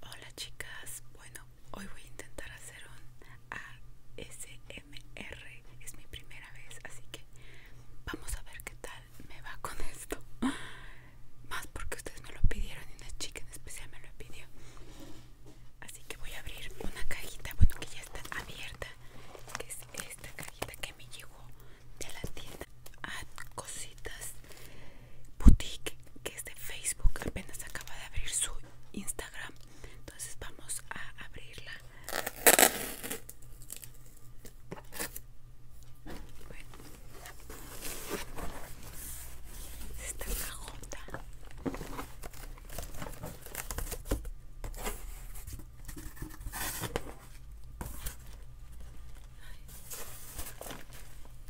Hola chicas, bueno, hoy voy a intentar hacer un ASMR, es mi primera vez, así que vamos a ver qué tal me va con esto. Más porque ustedes me lo pidieron y una chica en especial me lo pidió. Así que voy a abrir una cajita, bueno que ya está abierta, que es esta cajita que me llegó de la tienda. Ah, cositas Boutique que es de Facebook apenas acaba de abrir su Instagram entonces vamos a abrirla bueno. esta cajota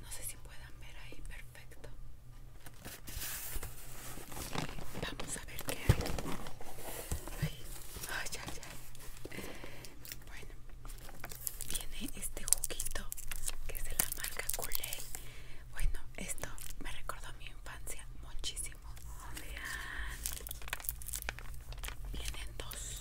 no sé si puedan ver ahí perfecto vamos a ver qué hay ay, ay, ay, bueno viene este juguito que es de la marca kool bueno esto me recordó mi infancia muchísimo vean vienen dos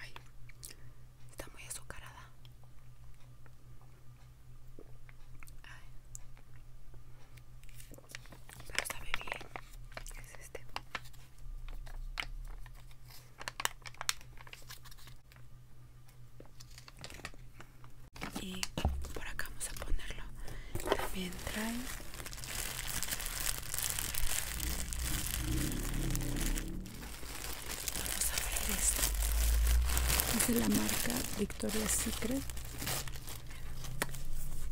Ay, está muy azucarada. Pero sabe bien. Es este y por acá vamos a ponerlo también trae vamos a ver esto es de la marca Victoria's Secret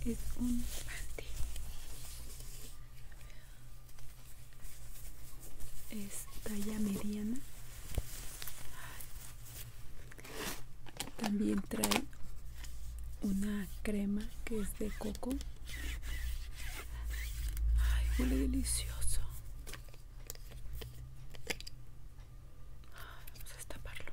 es un panty es talla mediana también trae una crema que es de coco. Ay, huele delicioso. Vamos a destaparlo.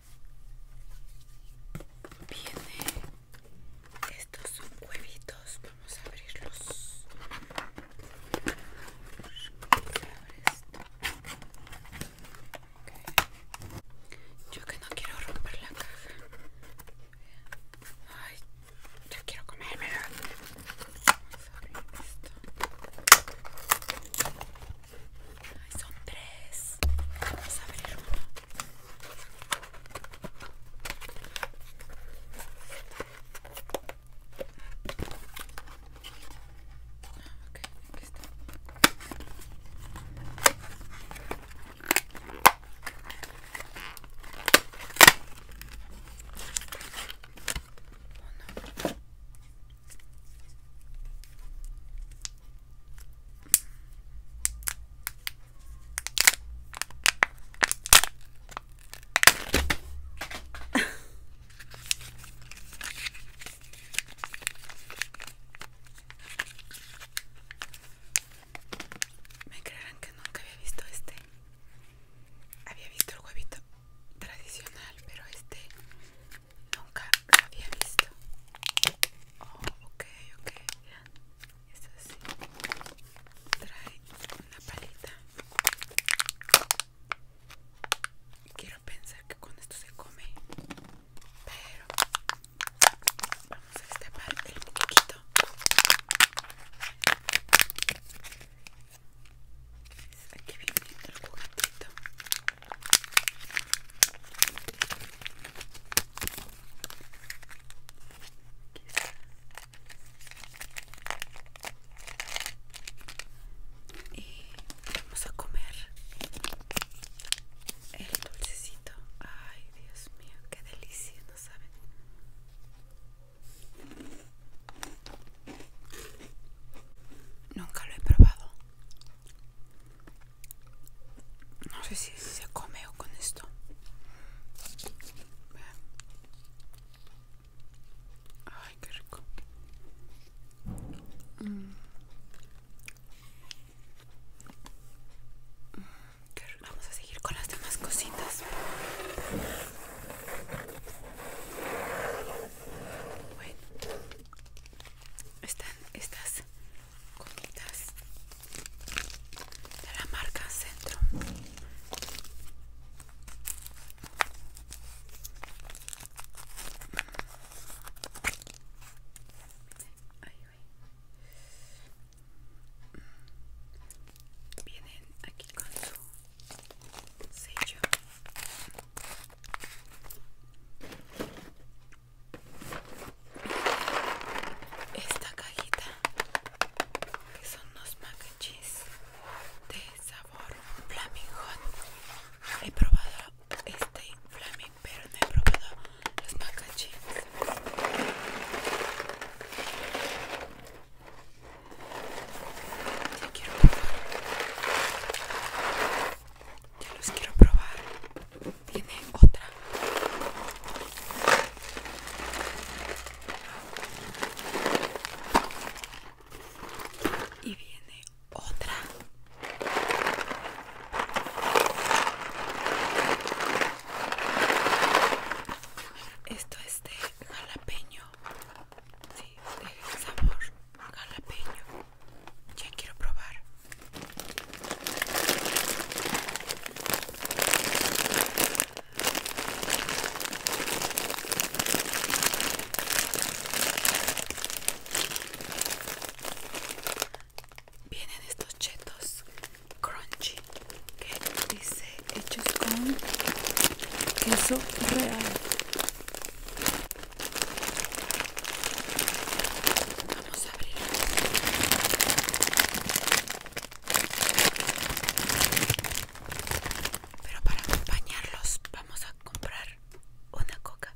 viene estos son huevitos vamos a abrirlos yo que no quiero romper la caja ay yo quiero comerme, vamos a abrir esto Ay, son tres. Vamos a abrir uno. Ah, ok, aquí está. Uno. Me creerán que nunca había visto este. Había visto el huevito tradicional, pero este nunca lo había visto. Oh, ok, ok, Esto así. Trae una palita. Quiero pensar que con esto se come. Pero vamos a destapar el muñequito. Aquí viene el juguetito y vamos a comer el dulcecito ay Dios mío qué delicioso no saben Nunca lo he probado. No sé si se come o con esto. Ay, mm. qué rico. Vamos a seguir con las demás cositas están estas comitas de la marca Centro. Vienen aquí con su sello esta cajita que son los macachis de sabor flaming hot he probado este flaming pero no he probado los macachis ya quiero ya los quiero probar. Viene otra. Y viene otra. Esto es de jalapeño. Sí, de sabor jalapeño. Ya quiero probar. Vienen estos chetos crunchy que dice hechos con queso real. Vamos a abrir Pero para acompañarlos vamos a comprar una coca.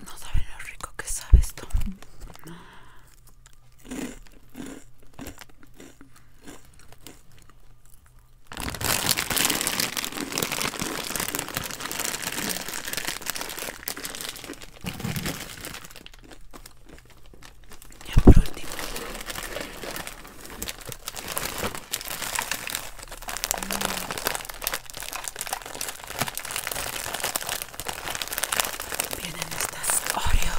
No saben lo rico que sabe esto. Ya por último, Vienen estas Oreo.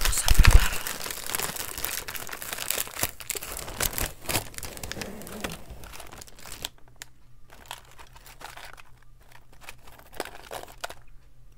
Vamos a probar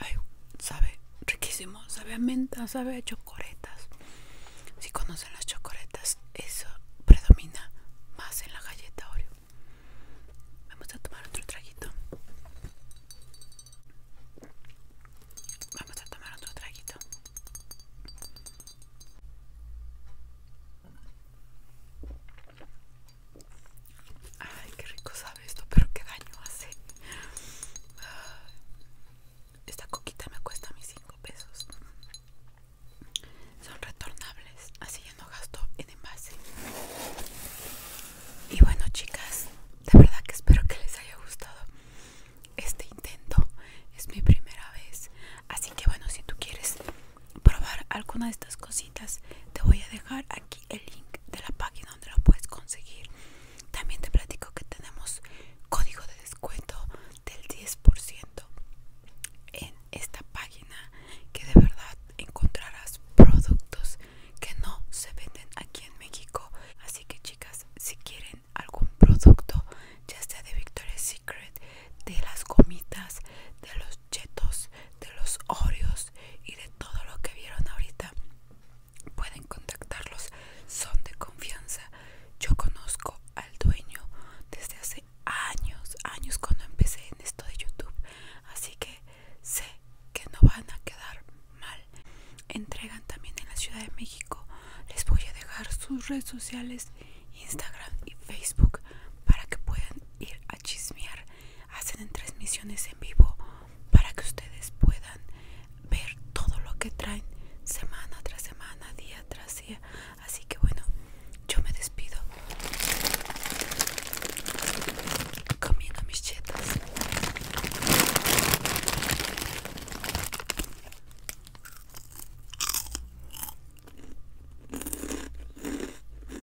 Ay, sabe riquísimo, sabe a menta, sabe a chocoretas. Si conocen las chocoretas, eso predomina más en la galleta Oreo. Vamos a tomar otro traguito. Vamos a tomar otro traguito. Ay, qué rico sabe esto, pero qué daño hace. Esta coquita me cuesta mis 5 pesos. Son retornables, así ya no gasto en envase. Y bueno, chicas, de verdad que espero que les haya gustado este intento. Es mi primera vez. Así que bueno, si tú quieres probar alguna de estas cositas, te voy a dejar aquí el link de la página donde lo puedes conseguir. También te platico que tenemos código de descuento del 10% en esta página que de verdad encontrarás productos que no se venden aquí en México. Así que chicas, si quieren algún producto, ya sea de Victoria's Secret, de las gomitas, de los chetos, de los Oreos, y de todo lo que vieron ahorita pueden contactarlos son de confianza yo conozco al dueño desde hace años años cuando empecé en esto de youtube así que sé que no van a quedar mal entregan también en la ciudad de méxico les voy a dejar sus redes sociales instagram y facebook para que puedan ir a chismear hacen transmisiones en vivo para que ustedes puedan ver todo lo que traen semana tras semana, día tras día. Así que bueno, yo me despido comiendo mis chetas.